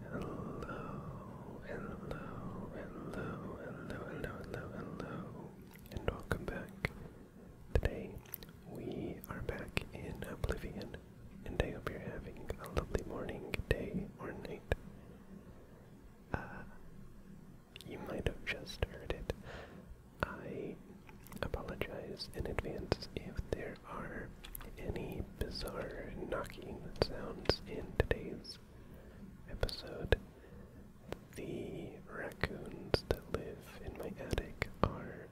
Hello, hello, hello, hello, hello, hello, hello, and welcome back. Today we are back in Oblivion, and I hope you're having a lovely morning, day, or night. Uh, you might have just heard it. I apologize in advance if there are any bizarre knocking sounds in today's episode. The raccoons that live in my attic are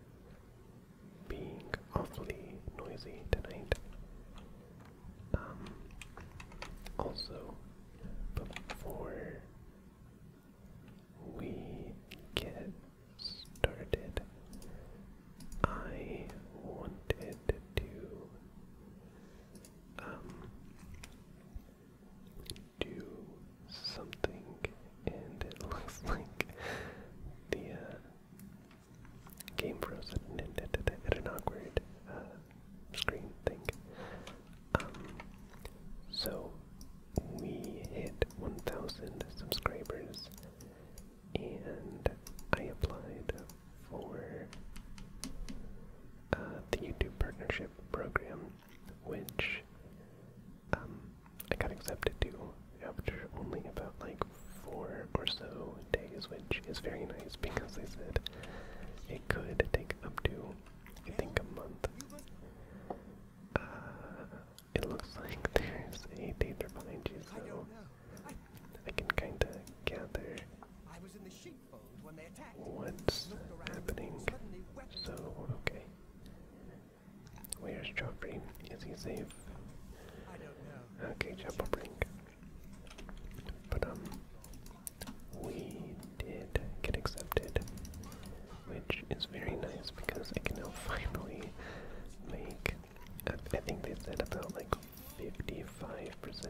being awfully noisy tonight. Um, also, before we get started, I wanted to um, do something, and it looks like the uh, game froze at an, awkward screen thing. Um, so we hit 1,000 subscribers, and I applied for uh, the YouTube Partnership Program, which um, I got accepted to after only about like four or so days, which is very nice because they said it could take up to I think a month. Uh, it looks like there's a danger behind you, so I, can kind of gather I was in the sheepfold when they attacked. what's happening. So okay, where's Joffrey? Is he safe? I don't know. Okay, Chapel Brink. But um, we did get accepted, which is very nice because I can now finally make. I, think they said about like 55%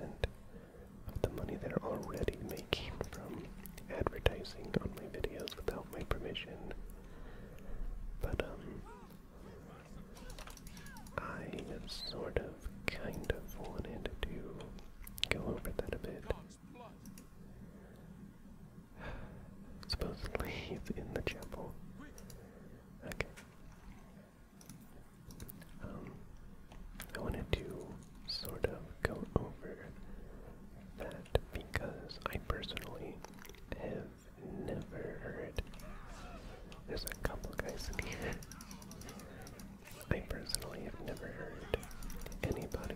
of the money they're already making from advertising on my videos without my permission. But um, I sort of have kind of wanted to go over that a bit. Supposedly he's in the chapel. Okay. Um, I wanted to sort of go over that because I personally have never heard. There's a couple guys here. I personally have never heard anybody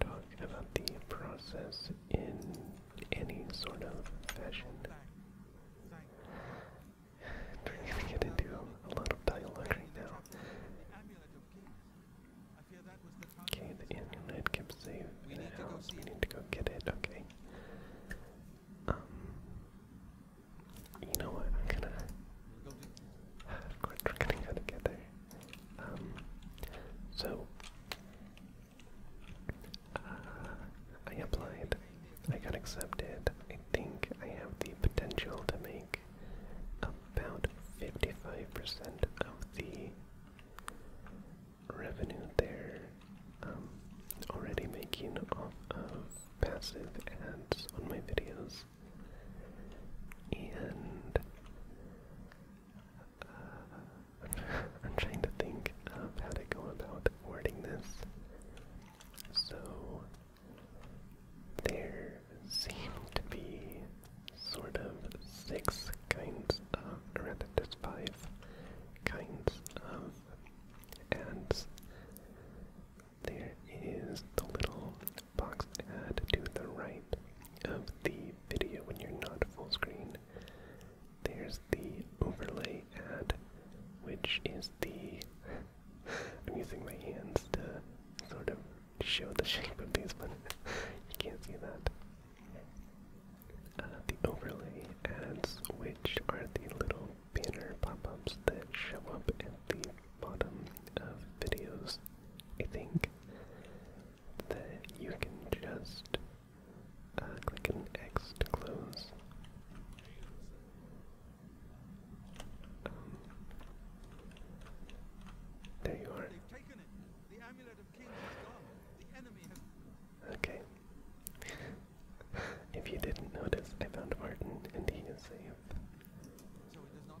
talk about the process in any sort of fashion. We're gonna get into a lot of dialogue right now. Okay, the amulet kept safe in We need to go get it. Okay. Um, you know what? I'm gonna. We're gonna go together. Um, so uh, I applied. I got accepted. I think I have the potential to make about 55% of the revenue there. Um, already making off of passive ads on my videos and uh, I'm trying to think of how to go about wording this. So there seem to be sort of six kinds of, rather there's five kinds of ads there is the little box ad to the right of the video when you're not full screen. There's the overlay ad, which is the. I'm using my hands to sort of show the shape of these, but you can't see that. Uh, the overlay ads, which are the little banner pop ups that show up at the bottom of videos, I think, that you can just uh, click an X close. Um, there you are. Okay. if you didn't notice, I found Martin and he is safe. So it is not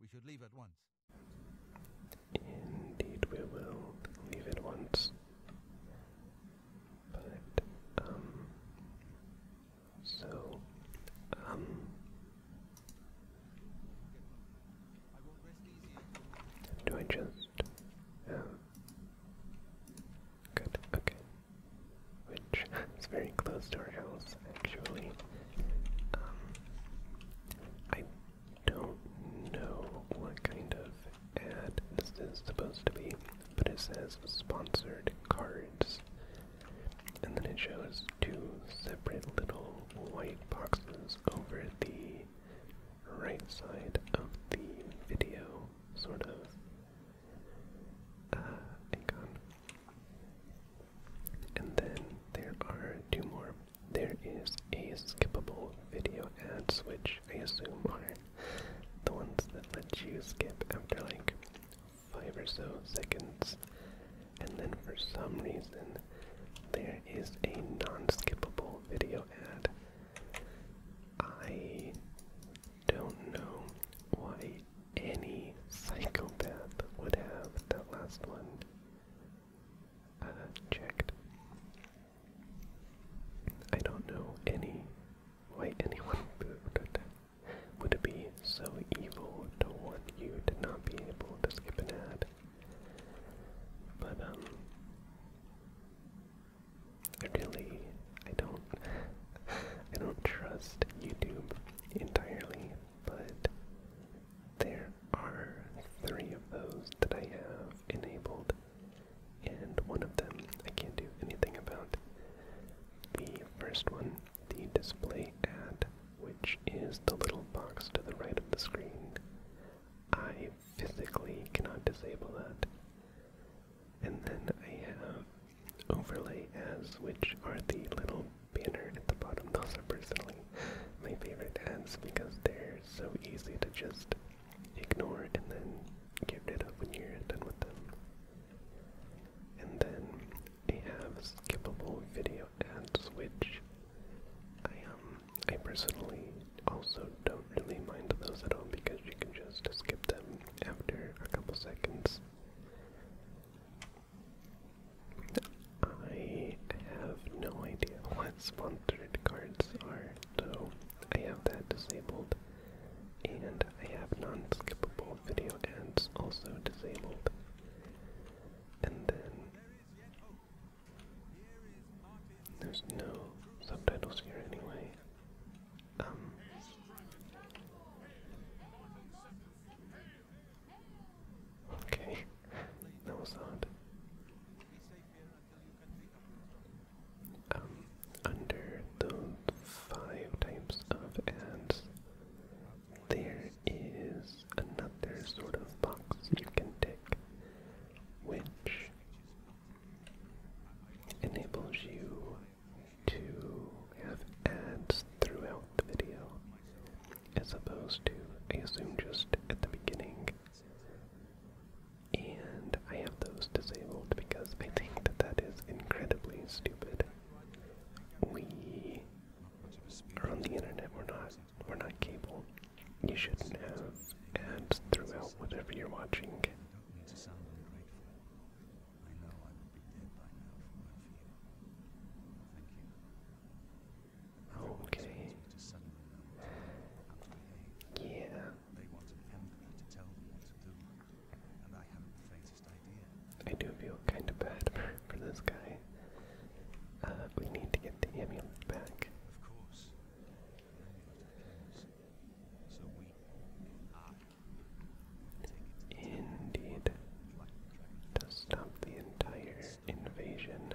We should leave at once. Indeed, we will leave at once. But, um, so, um, do I just have. Oh, good, okay. Which is very close to our house, actually. Um, I don't know what kind of ad this is supposed to be, but it says sponsored cards. And then it shows two separate little white boxes over the right side of the video, sort of uh, icon. And then there are two more there is a skippable video ad, which I assume are the ones that let you skip after like five or so seconds. And then for some reason, there is a non-skippable video ad. I don't know why any psychopath would have that last one. Uh, checked. I don't know why anyone would would be so evil to want you to not be able to skip an ad. But um really I don't I don't trust YouTube entirely, but there are three of those that I have enabled, and one of them I can't do anything about. The first one, the display ad, which is the little box to the right of the screen, I physically cannot disable that. And then I have overlay ads, which are the little banner at the bottom. Those personally my favorite ads because they're so easy to just ignore and then get rid of when you're done with them. And then they have skippable video ads, which I um I personally also don't really mind those at all because you can just skip them after a couple seconds. I have no idea what sponsored cards are, so I have that disabled. And I have non skippable video ads also disabled. And then there's no subtitles here anyway. Um, Okay, that was um, under those five types of ads, there is another sort of box you can tick, which enables you to have ads throughout the video as opposed to, I assume, just at the beginning. And I have those disabled because I think that that is incredibly stupid. We are on the internet, we're not, we're not cable. You shouldn't have ads throughout whatever you're watching. Okay. Yeah. I do feel kind of bad for this guy. Uh, we need to get the amulet back. Of course. So we are Indeed. To stop the entire invasion.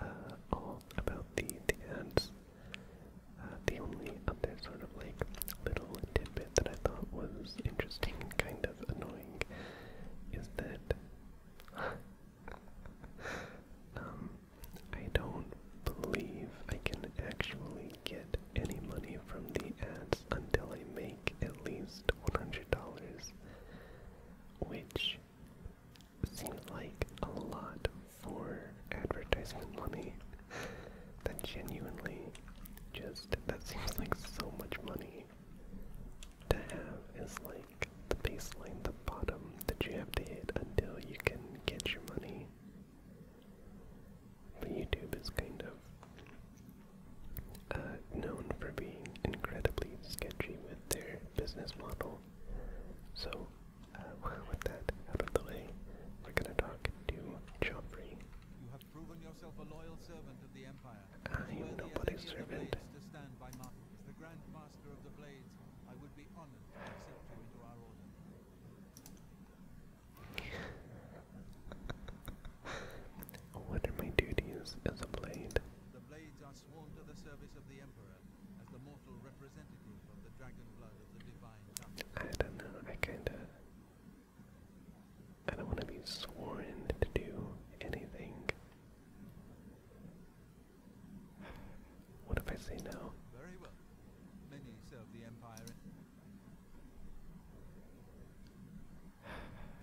Uh, all about the, the ads. Uh, the only other sort of like little tidbit that I thought was interesting kind of annoying is that um, I don't believe I can actually get any money from the ads until I make at least $100, which Seems like a lot for advertisement money. that genuinely just, that seems like so much money to have is like the baseline, the bottom that you have to hit until you can get your money. But YouTube is kind of uh, known for being incredibly sketchy with their business model. So uh, with that out of the way, we're gonna talk to Joffrey. You have proven yourself a loyal servant of the Empire. I am nobody's servant. To stand by Martin. As the Grand Master of the Blades, I would be honored to accept you into our order. what are my duties as a blade? The blades are sworn to the service of the Emperor as the mortal representative of the dragon blood of the divine I don't know, I kinda I don't wanna be sworn to do anything. What if I say no? Very well. Many serve the Empire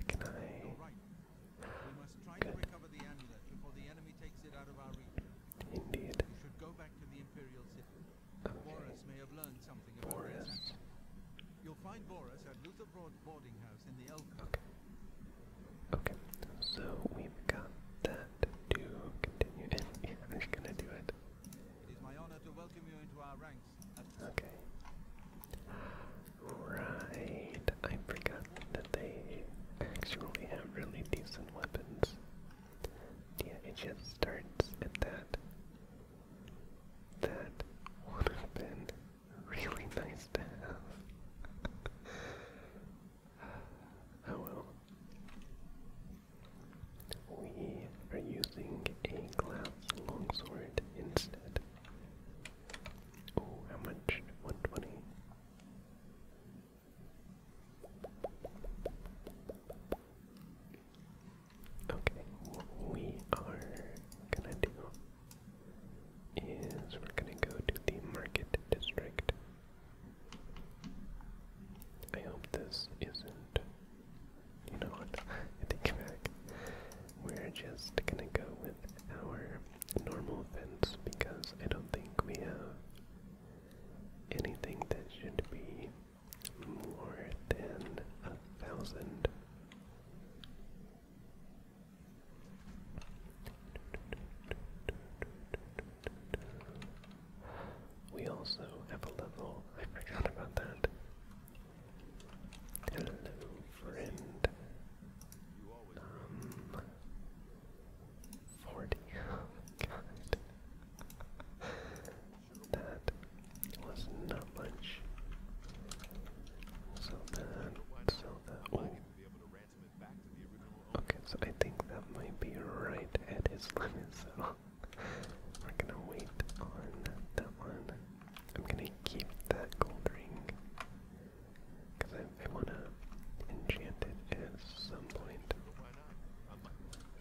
Can I? Indeed. You should go back to the Imperial City. Okay. Boris may have learned something about Boris. You'll find Boris at Luther Broad boarding house in the Elkhorn. Okay. Okay, so we've got that to continue, and I'm just gonna do it. It is my honor to welcome you into our ranks. Okay. Right, I forgot that they actually have really decent weapons. Yeah, it just starts at that. That would have been really nice to have. oh well. We are using a glass longsword instead. Oh, how much? 120. Okay, what we are gonna do is we're gonna go to the market district. I hope this isn't. You know what? I take We're just gonna go with our normal events because I don't think we have anything that should be more than a thousand. We also have a level. I forgot about that. Hello, friend. Um, Forty. god. That was not much. So that, so that one. Okay, so I think that might be right at his limit, so we're gonna wait on that one. I'm gonna keep that gold ring, because I, I wanna enchant it at some point.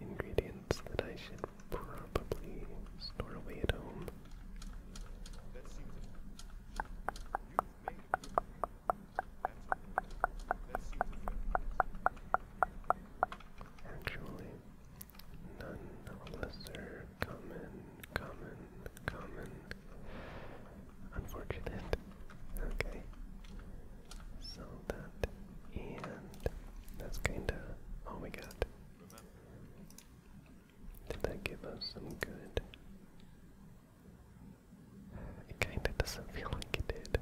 ingredients that I should probably store away at home. Actually, none lesser common, common, common. Unfortunate. Okay. So that, and that's kinda all we got. Did that give us some good? It kinda doesn't feel like it did.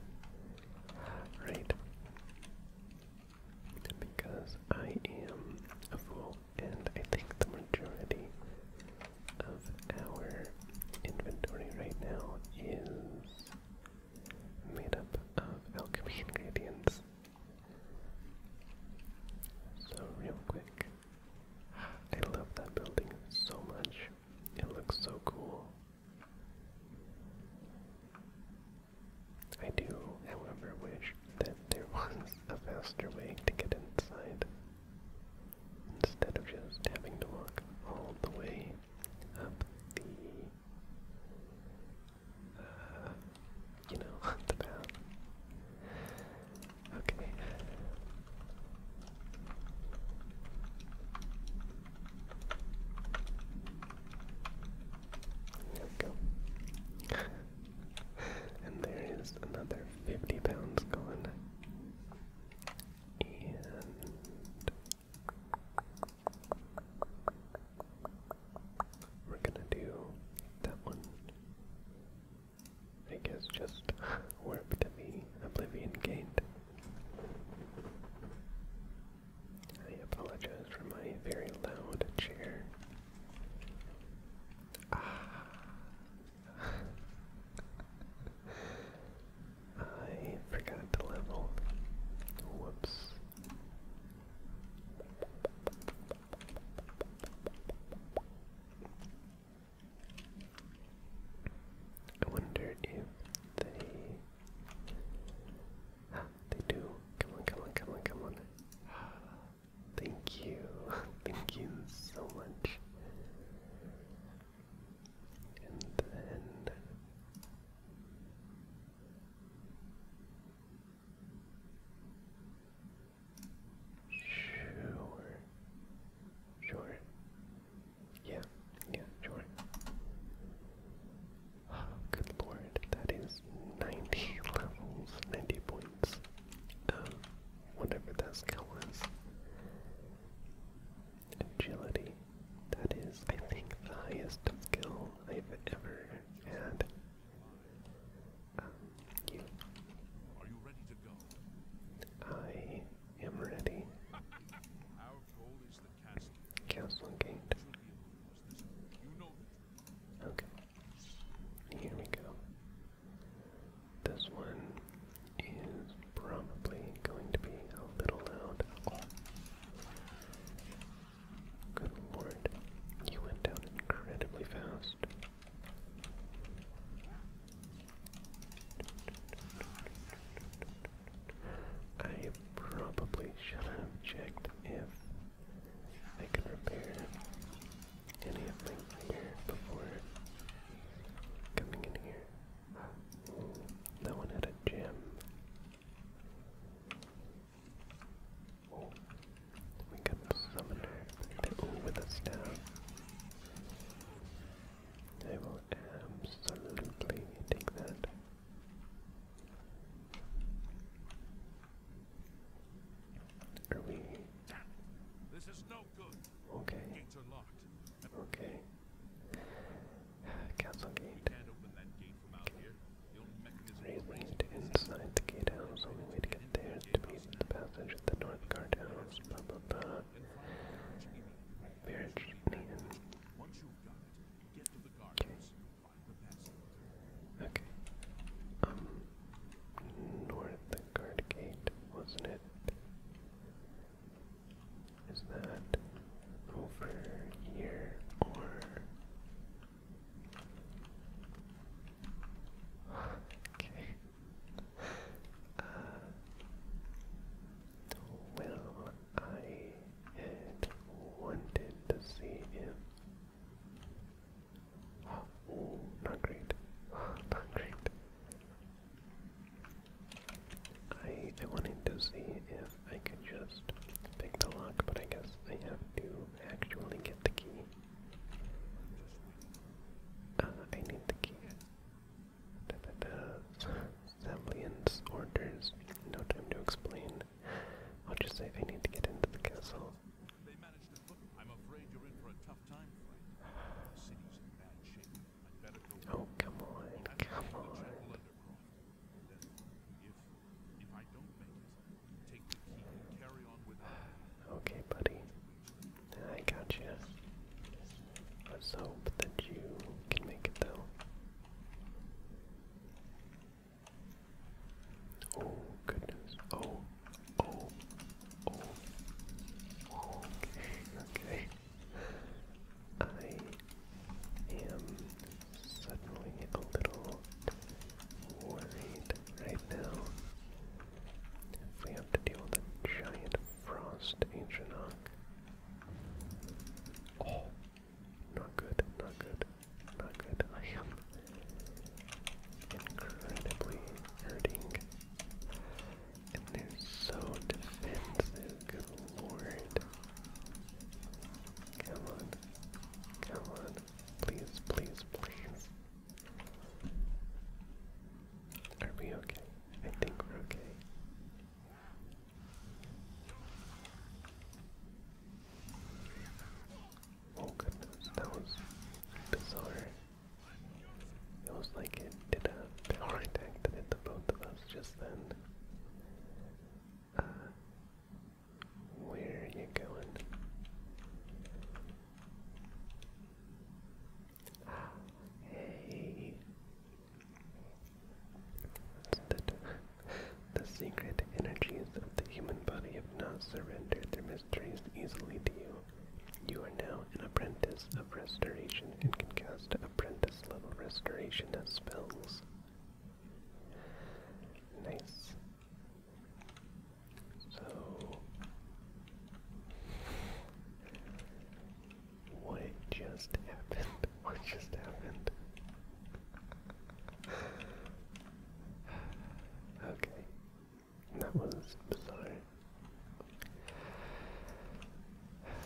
Right? Because I am a fool, and I think the majority of our inventory right now is made up of alchemy ingredients. So real quick, I love that building so much. It looks so cool. I do, however, wish that there was a faster way to get inside instead of just having to walk all the way up the uh, you know, the path. Okay. There we go. and there is another 50 pounds gone. And we're gonna do that one. I guess just warp to me. Oblivion gained. I apologize for my very loud cheer. Ah. I forgot to level. Whoops. I wonder if they. Ah, they do. Come on, come on, come on, come on. Thank you. Thank you so much. And then. Sure. Sure. Yeah, yeah, sure. Oh, good lord, that is 90 levels, 90 points. Um, whatever that skill was. Agility. That is, I think, the highest skill I've ever had. Uh, you. Are you ready to go? I am ready. Our gate. Okay. Here we go. This one is probably going to be a little loud. Good lord, you went down incredibly fast. I probably should have checked if I could repair any of my gear before coming in here. That one had a gem. We got the summoner to with us now. I will absolutely take that. Are we? This is no good. Okay. Gates are locked. Okay. Castle gate. Racing to inside the gatehouse, only way to get there is to the passage at the north guard blah blah blah. Marriage needed. Okay. Okay. Um, north gate, wasn't it? Is that over here or Okay. Uh, well, I had wanted to see him. not great. Not great. I I wanted to see if I could just pick the lock, but I guess I have to actually get the key. Uh, I need the key. Da, orders. No time to explain. I'll just say they need to get into the castle. I'm afraid you're in for a tough time, The city's in bad shape. I'd better go. Oh come on, come on. Okay, buddy. I gotcha. Let's hope that you can make it though. Oh goodness. Oh. Oh. Oh. Okay. I am suddenly a little worried right now. we have to deal with a giant frost Ancientok. Oh, not good, not good, not good. I am incredibly hurting. And they're so defensive, lord. Come on, come on, please, please, please. Are we okay? I think we're okay. Oh goodness, that was bizarre. It was like it did a power attack that both of us just then. Uh, where are you going? Ah, hey. The, secret energies of the human body have now surrendered their mysteries easily to you. You are now an apprentice of restoration and can cast apprentice level restoration spells. Nice. So, what just happened? What just happened? okay, that was bizarre.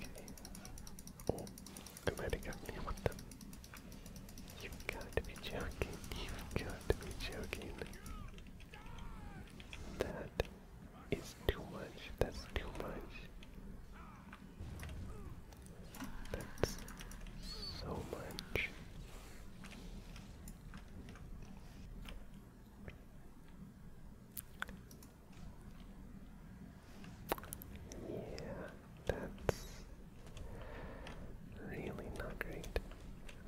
Okay. Oh, I might have gotten me with them. You've got to be joking. You've got to be joking. That is too much. That's too much. That's so much. Yeah, that's Really not great.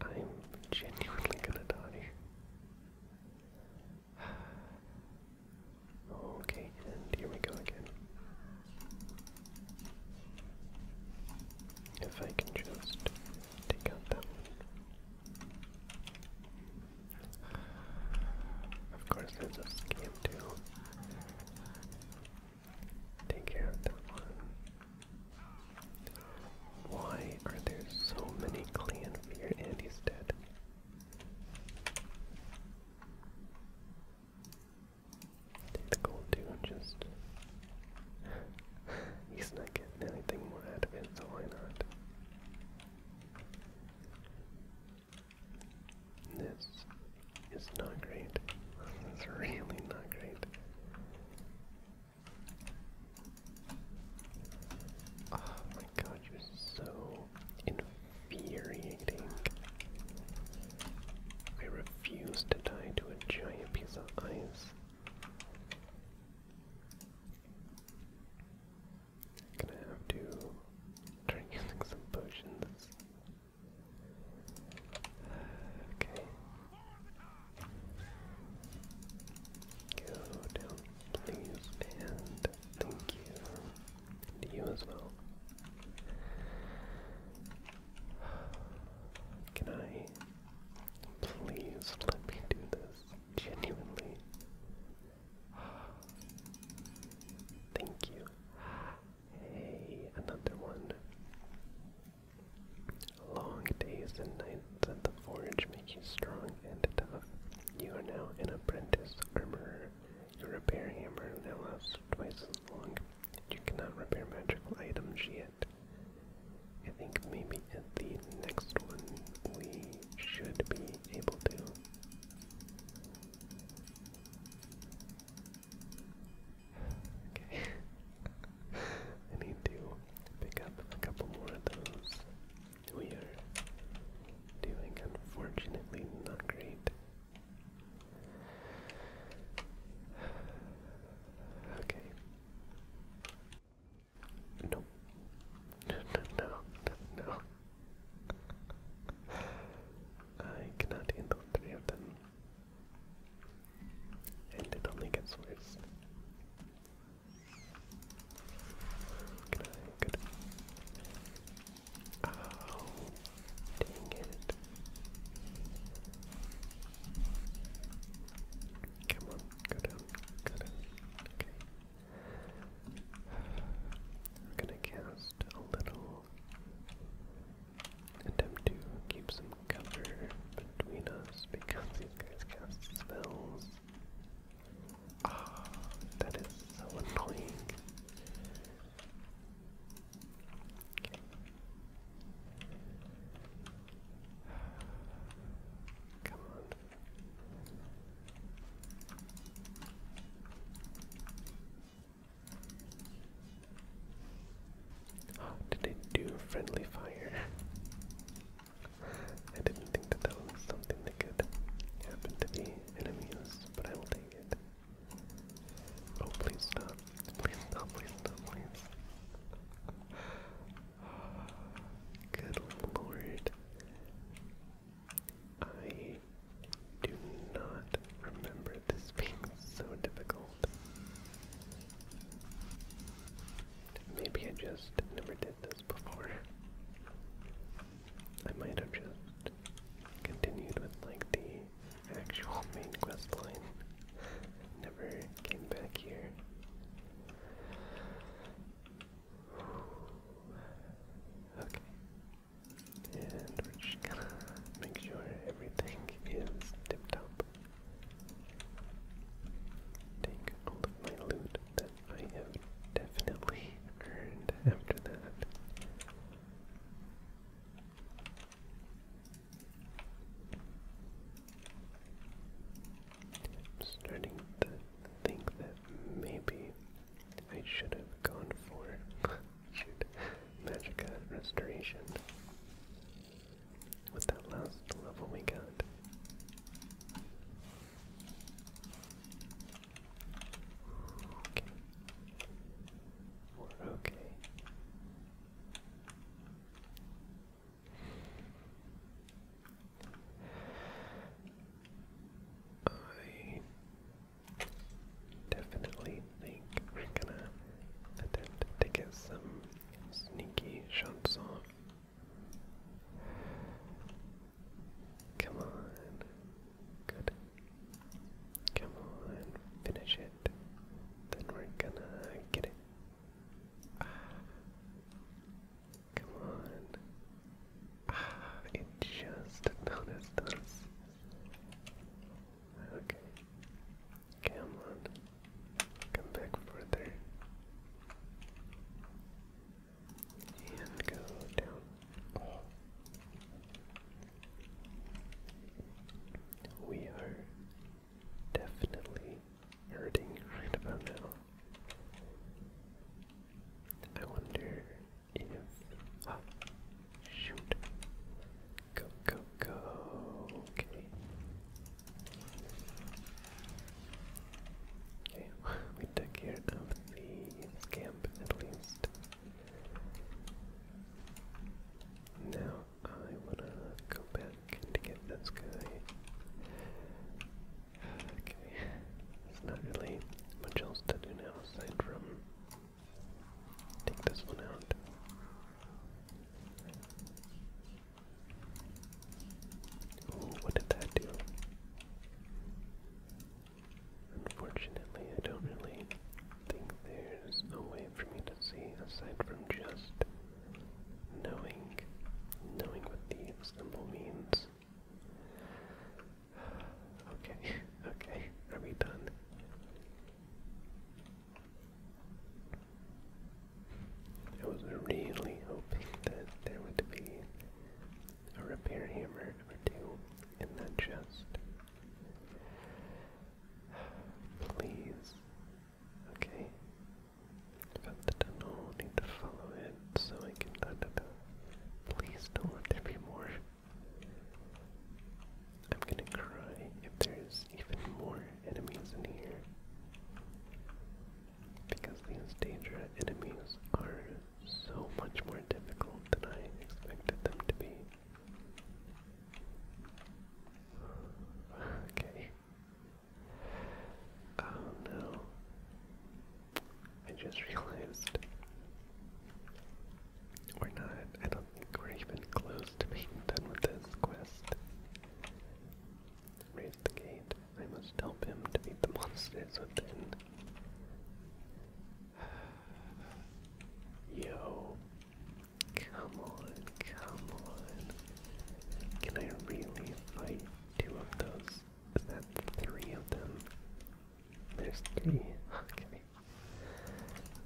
I'm genuinely gonna die. Okay, and here we go again. If I can just take out that Of course, there's a scam too. Take care of that one. Why are there so many clan fear and he's dead? Take the gold too, just he's not getting anything more out of it, so why not? This is not great. This is really not great. Oh my god, you're so infuriating. I refuse to die to a giant piece of ice. Gonna have to try some potions. Okay, Go please, and thank you. you as well. Can I please let me do this genuinely? Thank you. Hey, another one. Long days and nights at the forge make you strong and tough. You are now an apprentice armorer. Your repair hammer now lasts twice as long. You cannot repair magical items yet. I think maybe at the next one we should be able to. Okay. I need to pick up a couple more of those. We are doing, unfortunately, not great. Okay. No. No, no, no, I cannot handle three of them. And it only gets worse. Can I? Good. Oh, dang it. Come on, go down, go Okay. I'm gonna cast a little attempt to keep some cover between us because these guys cast spells. Ah, that is so annoying. Come on. Did it do friendly fire? I didn't think that that was something that could happen to be enemies, but I will take it. Oh, please stop. Please stop, please stop, please. Good lord. I do not remember this being so difficult. Maybe I just never did this before. I might have just continued with like the actual main quest line. Never came back here. Okay. And we're just gonna make sure everything is tip up. Take all of my loot that I have definitely earned after that. I'm starting to think that maybe I should have gone for magic Restoration with that last level we got. Okay. We're okay. I definitely think we're gonna attempt to get some sneaky shots off Come on. Good. Come on, finish it. Then we're gonna get it. Ah. Come on. Ah, it just noticed us. Okay. Camlon, come back further, and go down. We are definitely hurting right about now. I wonder if ah, shoot. Go go go okay. Okay, we took care of the scamp at least. Now I wanna go back and get this guy. Okay, there's not really much else to do now aside from take this one out what did that do? Unfortunately, I don't really think there's a way for me to see aside from just knowing, knowing what the symbol means. Okay, okay, are we done? I was really hoping that there would be a repair hammer or two in the chest. Please. Okay. Found the tunnel, need to follow it so I can Please don't let there be more. I'm gonna cry if there's even more enemies in here because these danger enemies are so much more difficult than I expected them to be. Okay. Oh no. I just realized we're not, I don't think we're even close to being done with this quest. Raise the gate. I must help him to beat the monsters within. Yo, come on, come on. Can I really fight two of those? Is that three of them? There's three. Okay.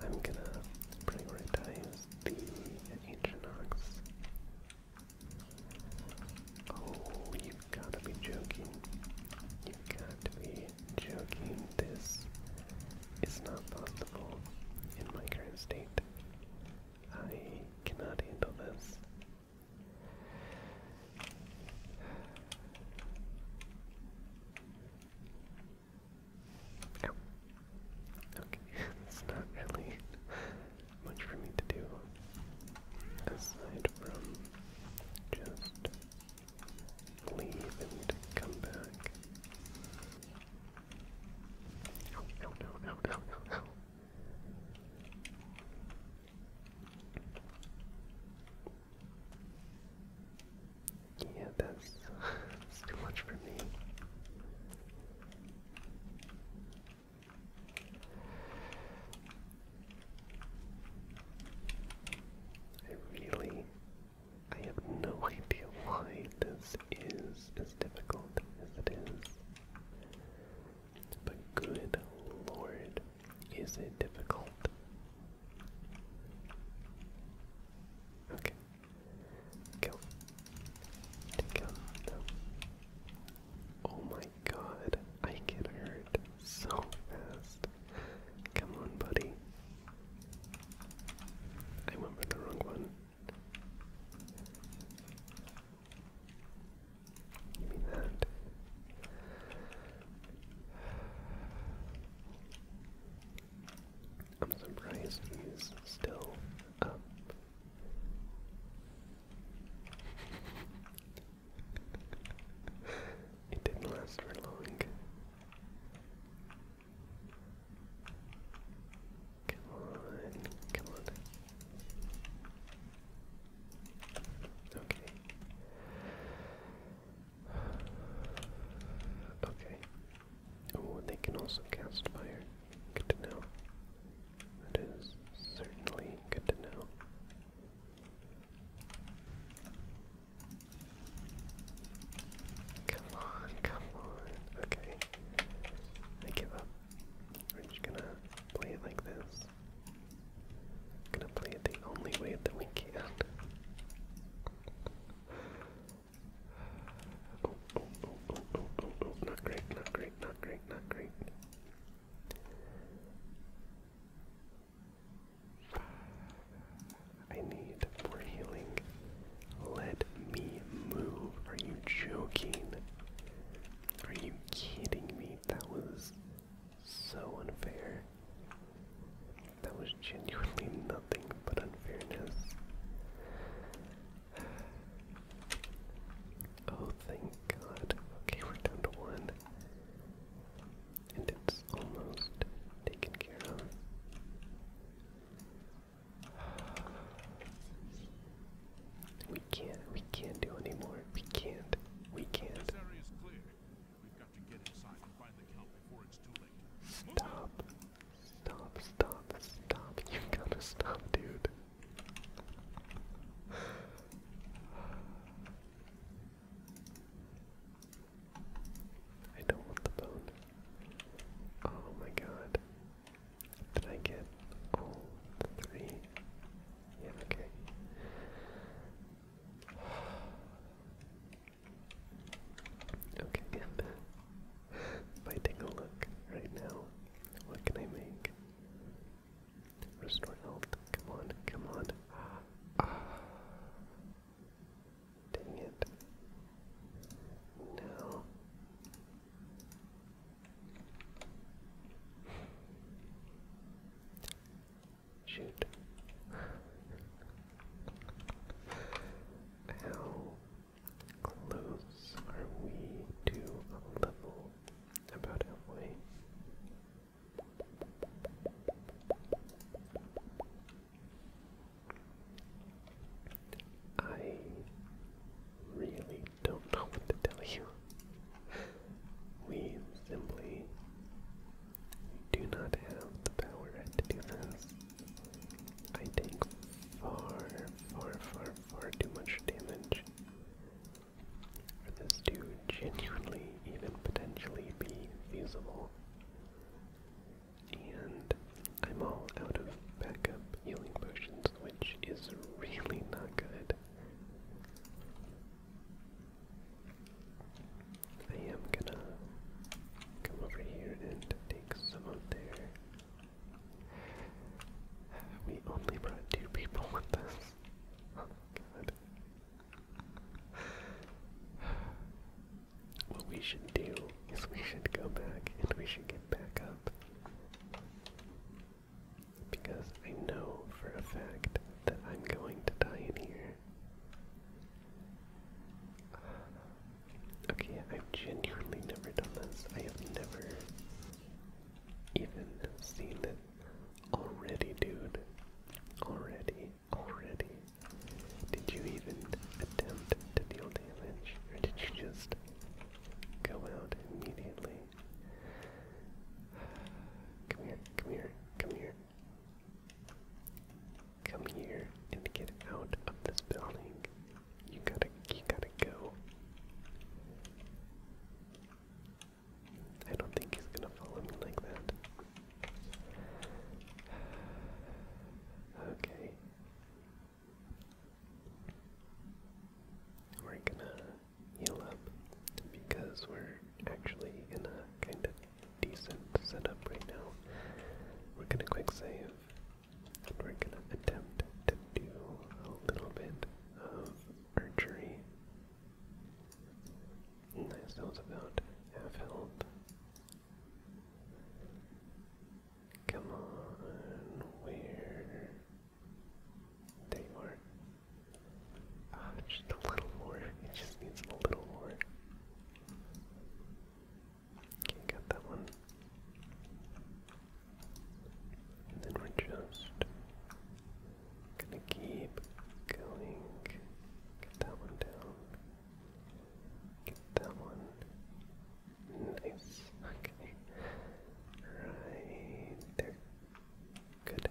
I'm gonna prioritize the ancient ox. Oh, you've got to be joking. You've got to be joking. This is not possible in my current state. I cannot handle this. Ow. Okay, it's not really much for me to do aside from just leave and come back. Yeah, that's too much for me. I really, I have no idea why this is as difficult as it is. But good lord, is it difficult? Okay. Go. Take out. Oh my god, I get hurt so fast. Come on, buddy. I went for the wrong one. Give me that. I'm surprised he's still up. it didn't last for long. Come on, come on. Okay. Okay. Oh, they can also cast fire. Good to know. That is certainly good to know. Come on, come on. Okay. I give up. We're just gonna play it like this. Gonna play it the only way that we can. oh, oh, oh, oh, oh, oh, oh. not great, not great, not great, not great. I need more healing. Let me move. Are you joking? Are you kidding me? That was so unfair. That was genuinely nothing but unfairness. Oh, thank God. Okay, we're down to one. And it's almost taken care of. We can't, we can't do anymore. We can't, we can't. Stop, stop, stop, stop. You gotta stop, dude. I don't want the phone. Oh my god. Did I get all three? okay. Okay, if a look right now, what can I make? Restore health. Come on, come on. Ah. Dang it. No. Shoot. How close are we to level about Elway. I really don't know what to tell you. We simply do not have the power to do this. I take far, far, far, far too much damage for this to genuinely even potentially be feasible. And I'm all out of backup healing potions, which is really not good. I am gonna come over here and take some of their. We only brought two people with us. What we should do is we should go back and we should get back up. Because I know for a fact that I'm going to die in here. Okay, I've genuinely never done this. I have never even seen it Already, dude. Already, already. Did you even attempt to deal damage? Or did you just go out immediately? Come here, come here, come here. Come here and get out of this building. You gotta, you gotta go. I don't think he's gonna follow me like that. Okay. We're gonna heal up because we're actually in a kind of decent setup right now. We're gonna quick save and we're gonna attempt to do a little bit of archery that's that about half health. Come on, where? There are. Ah, just a little more. It just needs a little more. got that one. then we're just Gonna keep going. Get that one down. Get that one. Nice. Okay. Right there. Good.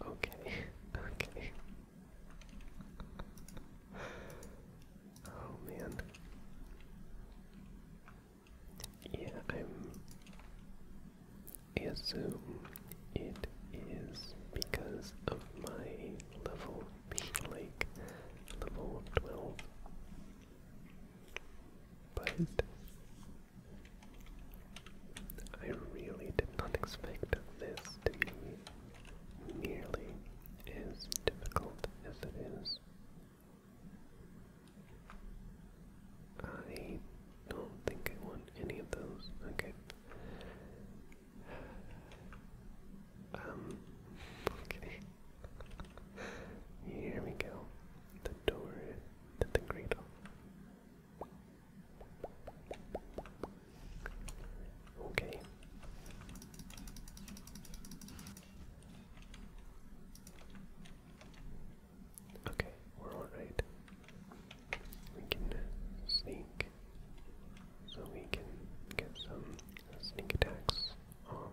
Okay. Okay. Oh man. Yeah, i assume it is because of my level being like level twelve. But I really did not expect this to be nearly as difficult as it is. I don't think I want any of those. Okay. Um, okay. Here we go. The door the cradle. Okay. Okay, we're alright. We can uh, sneak so we can get some sneak attacks off.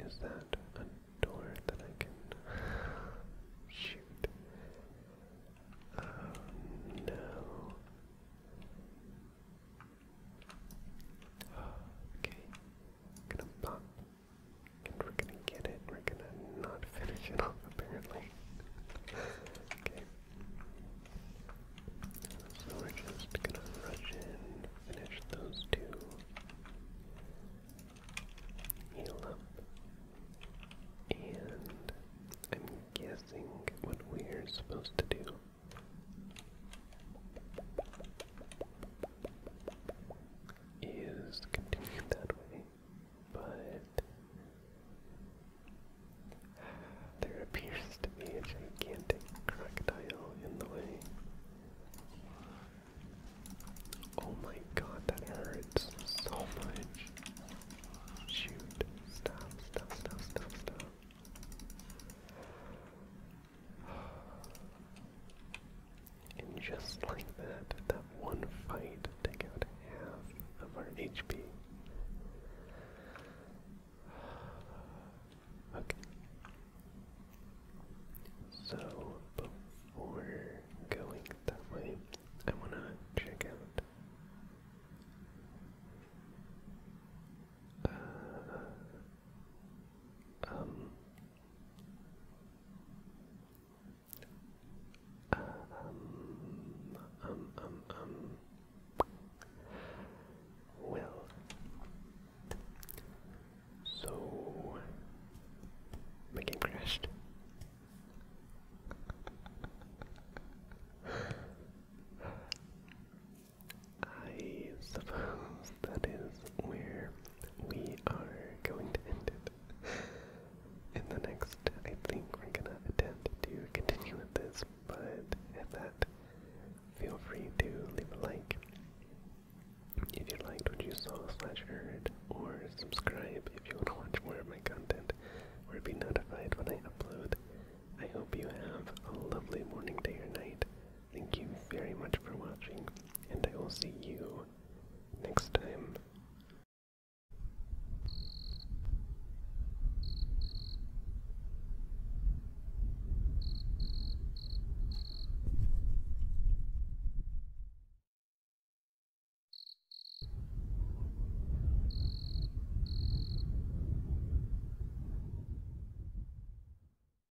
Is that a door that I can shoot? Oh no. Okay, we're gonna pop. And we're gonna get it. We're gonna not finish it off, apparently. okay. So we're just gonna rush in, finish those two. Heal up. And I'm guessing what we're supposed to do is to that way, but there appears to be a gigantic crocodile in the way. Oh my god, that hurts so much. Shoot. Stop, stop, stop, stop, stop. And just like that, that one fight took out half of our HP. Okay. So before going that way, I want to check out um, um, um, um, um, well, so my game crashed. I suppose that is where we are going to end it. In the next, I think we're gonna attempt to continue with this, but if that, feel free to leave a like if you liked what you saw slash heard, or subscribe if you want to watch more of my content, or be notified when I upload. I hope you have a lovely morning, day, or night. Thank you very much for watching, and I will see you next time.